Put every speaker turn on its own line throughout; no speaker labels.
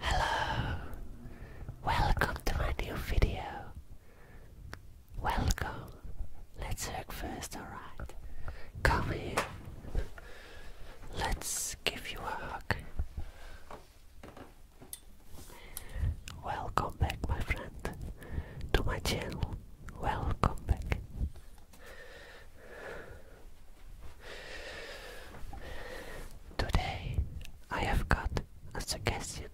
Hello, welcome to my new video. Welcome. Let's hug first, alright? Come here. Let's give you a hug. Welcome back, my friend, to my channel. Welcome back. Today I have got a suggestion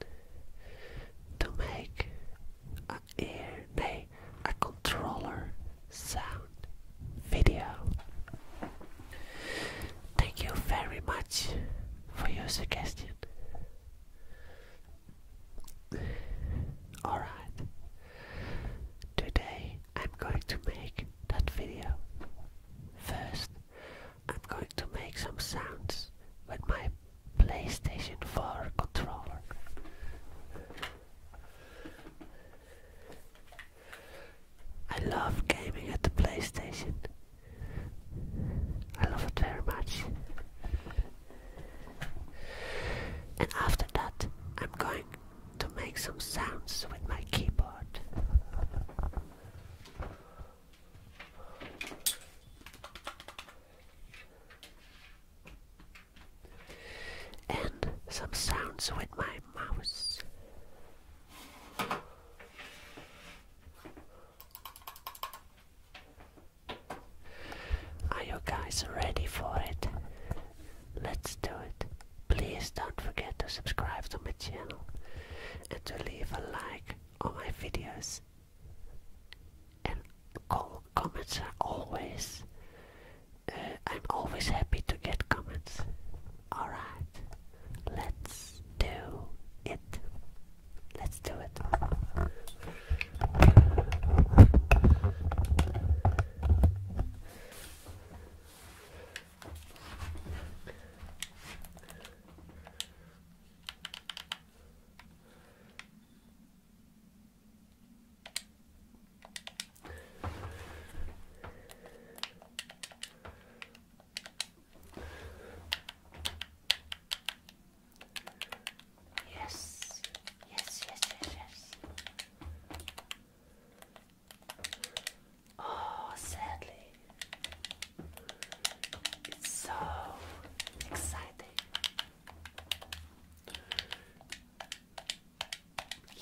to make a ear, a controller sound video. Thank you very much for your suggestion. Alright, today I'm going to make that video. First, I'm going to make some sounds with my PlayStation 4 controller. I love gaming at the PlayStation. I love it very much. And after that, I'm going to make some sounds with my keyboard. And some sounds with my mouse. Are you guys ready for it? Let's do it. Please don't forget to subscribe to my channel and to leave a like on my videos. And comments are always, uh, I'm always happy to get comments. Alright, let's do it. Let's do it. Yes, yes, yes, yes, yes. Oh, sadly, it's so exciting.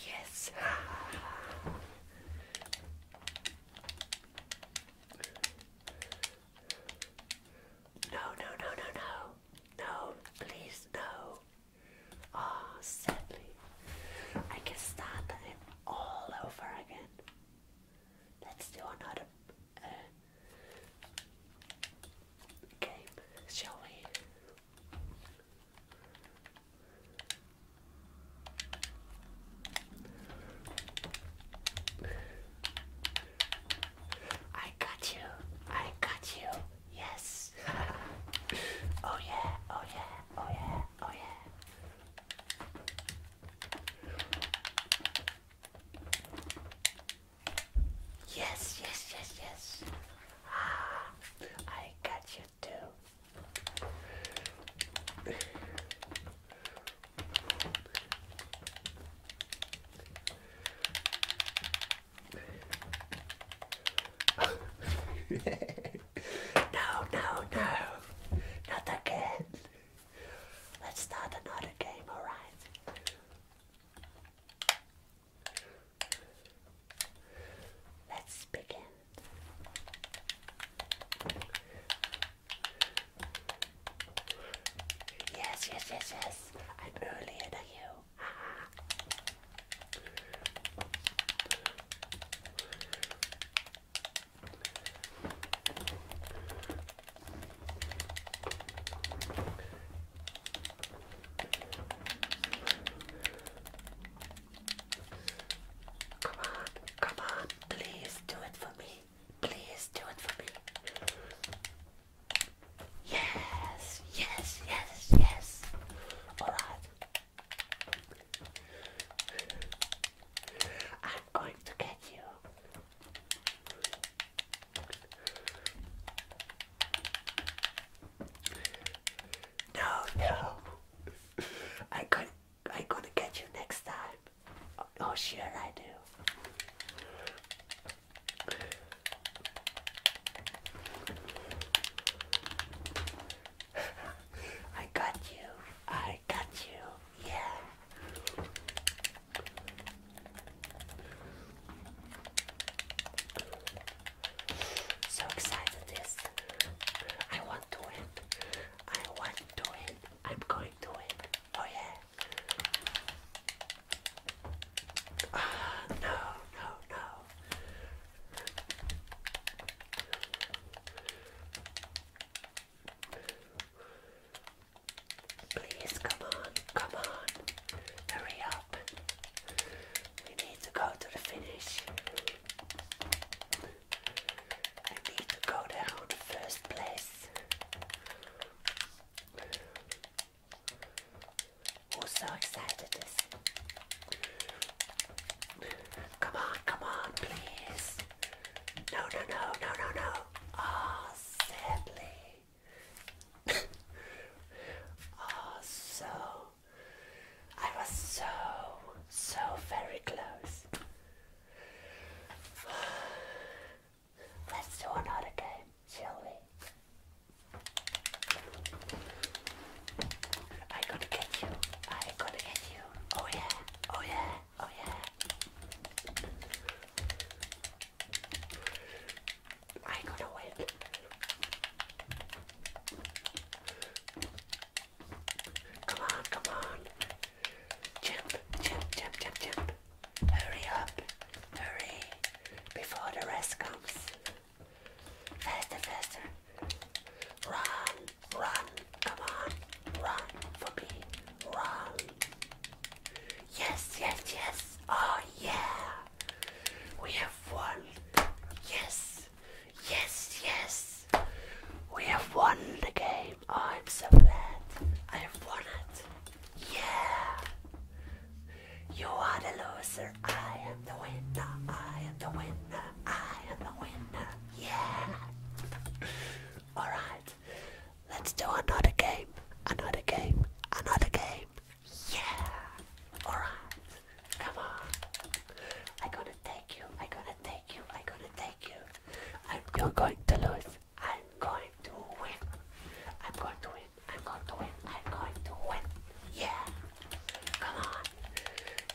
Yes. No, no, no, no, no. please, no. Ah, sadly, I can start all over again. Let's do another uh, game, shall we? I got you. I got you. Yes. oh yeah. Oh yeah. Oh yeah oh yeah. Yes, yes, yes, yes. Ah, I got you too. no, no, no. Not again. Let's start another game, alright? Let's begin. Yes, yes, yes, yes. I'm earlier than you. Come on, come on, please do it for me. Please do it for me. Yes, yes, yes, yes. Alright. I'm going to get you. No, no. I got. I'm get you next time. Oh, oh sure I do. I got you. I got you. Yeah. So excited this. I want to win. I want to win. I'm going to win. Oh yeah. Ah, no, no, no. Please come on, come on, hurry up. We need to go to the finish. We need to go down to first place. Who's so excited Come on, come on, please. No, no, no, no, no, no. Ah, sadly. oh, so. I was so, so very close. Let's do another game, shall we? I am going to get you. I am going to get you. Oh yeah. Oh yeah. Oh yeah. I gotta win. Come on, come on. Jump, jump, jump, jump, jump. Hurry up. Hurry. Before the rest comes. Faster, faster. Run, run, come on, run for me, run. Yes, yes, yes. Oh, yeah. We have won. Yes, yes, yes. We have won the game. Oh, I'm so glad. I have won it. Yeah. You are the loser. I am the winner. I am the winner. I am the winner. Yeah. All right. Let's do another game. Another game. Another game. Yeah. All right. Come on. I'm gonna take you. I'm gonna take you. I'm gonna take you. I'm going to lose. I'm going to win. I'm going to win. I'm going to win. I'm going to win. Yeah. Come on.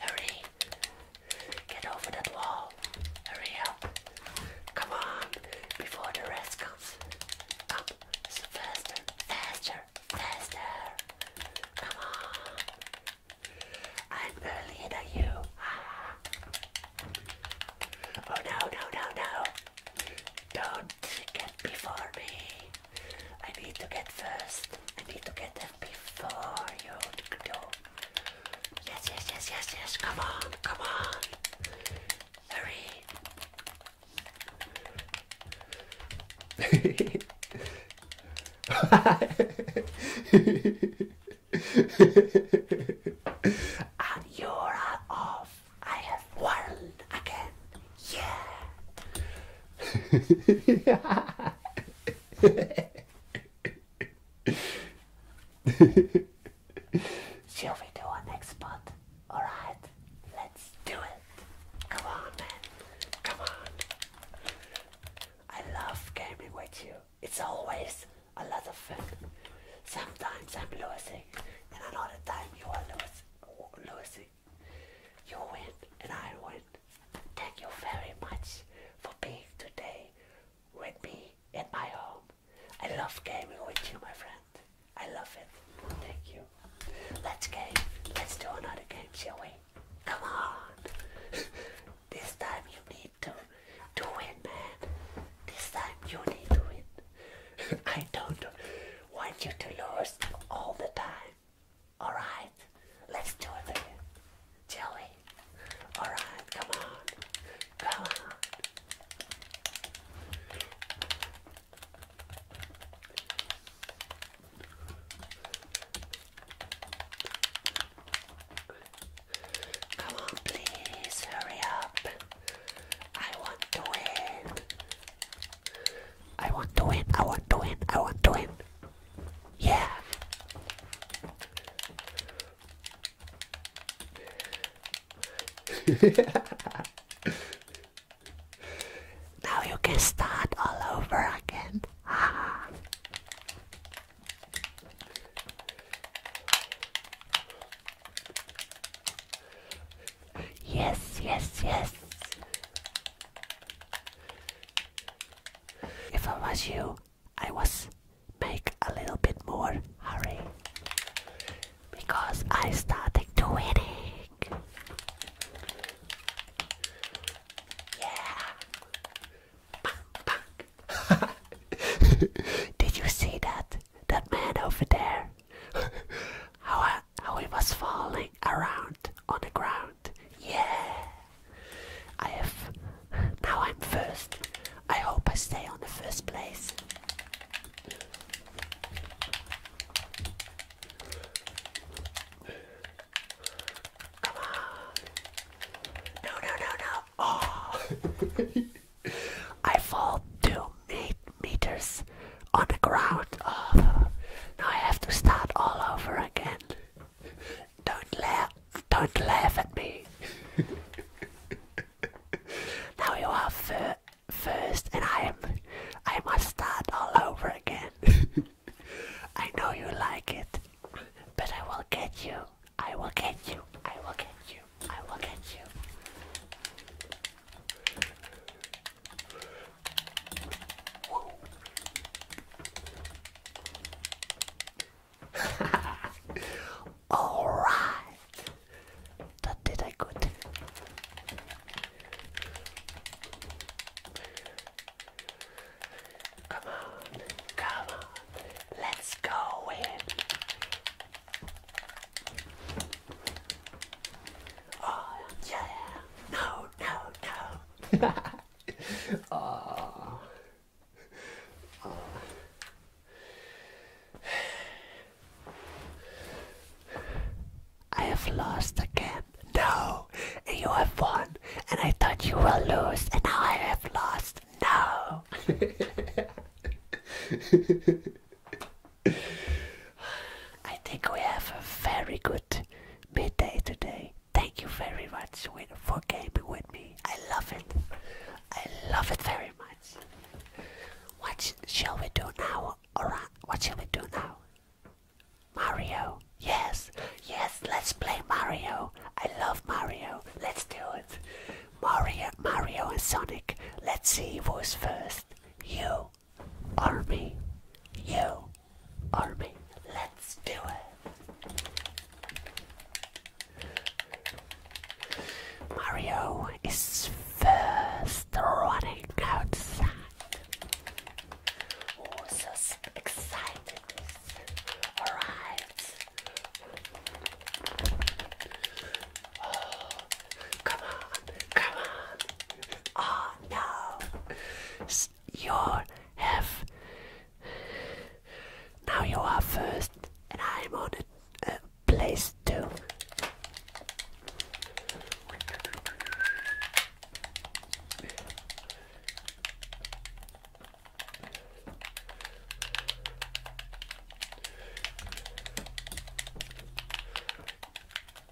Hurry. Get over that wall. Hurry up. Come on. Before the rest comes. Come. So faster. Faster. Faster. Come on. I'm earlier than you. Oh no, no, no, no. Don't get before me. I need to get first. I need to get them before you do. Yes, yes, yes, yes, yes. Come on, come on. Hurry. and you are off. I have won again. Yeah. Shall we do our next spot? Alright, let's do it. Come on, man. Come on. I love gaming with you. It's always a lot of fun. Sometimes I'm losing, and another time you are losing. Losing, you win and I win. Thank you very much for being today with me in my home. I love gaming with you, my friend. I love it. Thank you. Let's game. Let's do another game, shall we? Come on. this time you need to do it, man. This time you need to win. I don't want you to lose all the time. All right, let's do it again, shall All right, come on, come on. Come on, please hurry up. I want to win. I want to win, I want to win, I want to win. Yeah. now you can start all over again. Yes, yes, yes. If I was you, I was make a little bit more hurry because I started to winning. Yeah. Did you see that? That man over there? How that how he was falling around on the ground. Yeah! I have. Now I'm first. I hope I stay on the first place. Come on. No, no, no, no. Oh! I fall two me meters on the ground. Oh, now I have to start all over again. Don't laugh. Don't laugh at me. now you are first, and I am. I must start all over again. I know you like it, but I will get you. I will get you. I will get you. I will get you. All right, that did I good. Come on, come on, let's go in. Oh, yeah. No, no, no. oh. Oh. I have lost again. No, and you have won, and I thought you will lose, and now I have lost. No. I think we have a very good midday today. Thank you very much for gaming with me. I love it. I love it very much. What shall we do now? Alright, what shall we do now? Mario. Yes, yes, let's play Mario. I love Mario. Let's do it. Mario, Mario and Sonic. Let's see who's first. You army. You army. Let's do it. Mario is first running outside. Oh, so excited! Alright. come on come on. Oh no, you have. Now you are first, and I'm on a, place two.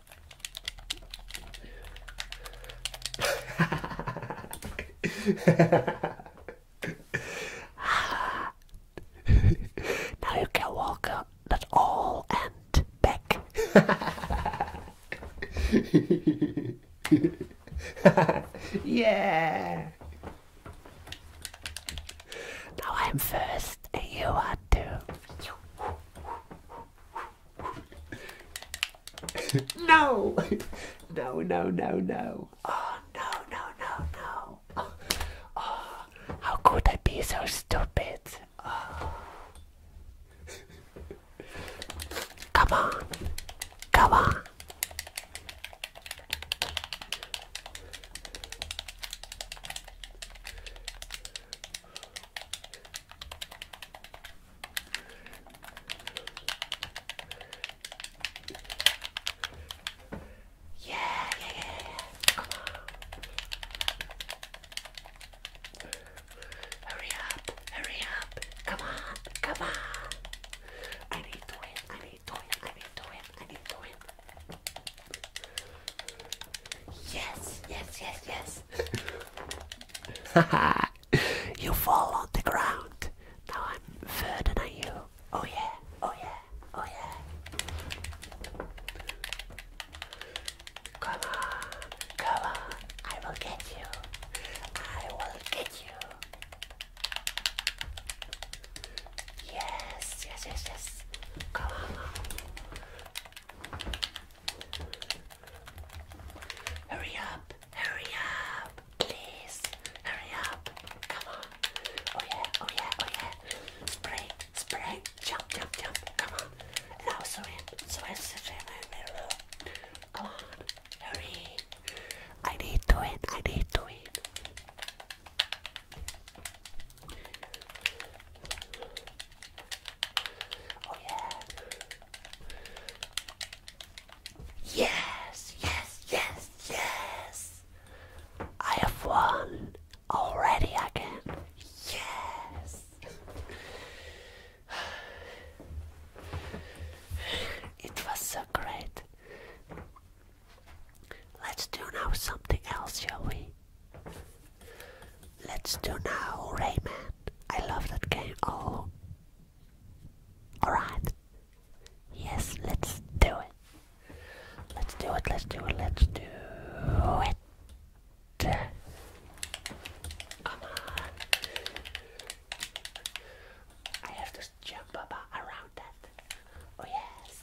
now you can walk up that all and back. yeah. Now I'm first, and you are too no! No, no, no, no. Oh, no, no, no, no. Oh, oh, how could I be so stupid? Oh. Come on. Come on. Yeah, yeah, yeah, Come on. Hurry up, hurry up. Come on, come on. I need to win, I need to win, I need to win, I need to win. Yes, yes, yes, yes. Haha, you fall on the ground. Now I'm further you. Oh yeah, oh yeah, oh yeah. Come on, come on. I will get you. I will get you. Yes, yes, yes, yes. Come on. Hurry up, hurry up, please, hurry up, come on. Oh yeah, oh yeah, oh yeah. Spray, spray, jump, jump, jump, come on. Now swim, swim, swim, come on, hurry. I need to win, I need to win. Oh yeah. Yes, yes, yes, yes. I have won already again. Yes. It was so great. Let's do now something else, shall we? Let's do now Rayman. I love that game. Oh. Alright. Yes, let's do it. Let's do it, let's do it, let's do it. Come on. I have to jump about around that. Oh yes.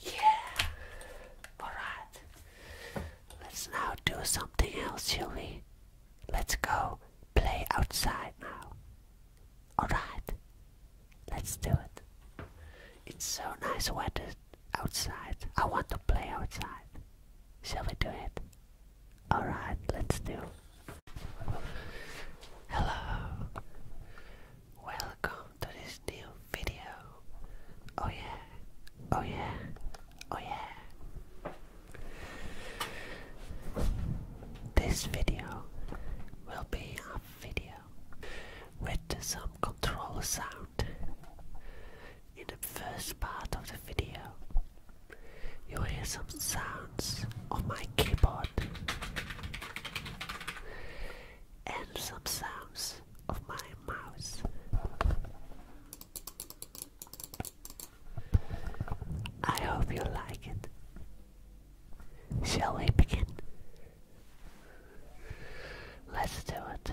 Yeah! Alright. Let's now do something else, shall we? Let's go play outside now. Alright. Let's do it. It's so nice weather outside. I want to play outside. Shall we do it? Alright, let's do. Hello. Welcome to this new video. Oh yeah, oh yeah, oh yeah. This video will be a video with some control sound. In the first part of the video, you'll hear some sounds on my keyboard and some sounds of my mouse. I hope you like it. Shall we begin? Let's do it.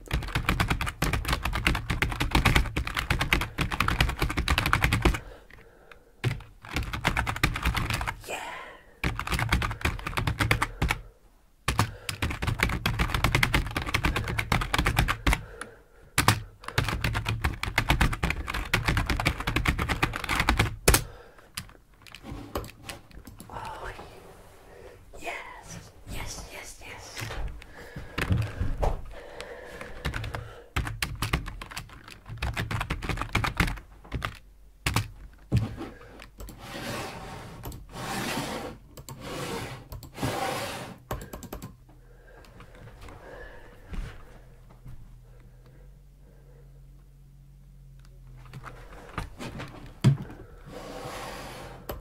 Yeah. Oh, yes. Yes, yes, yes.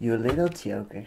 you little joker.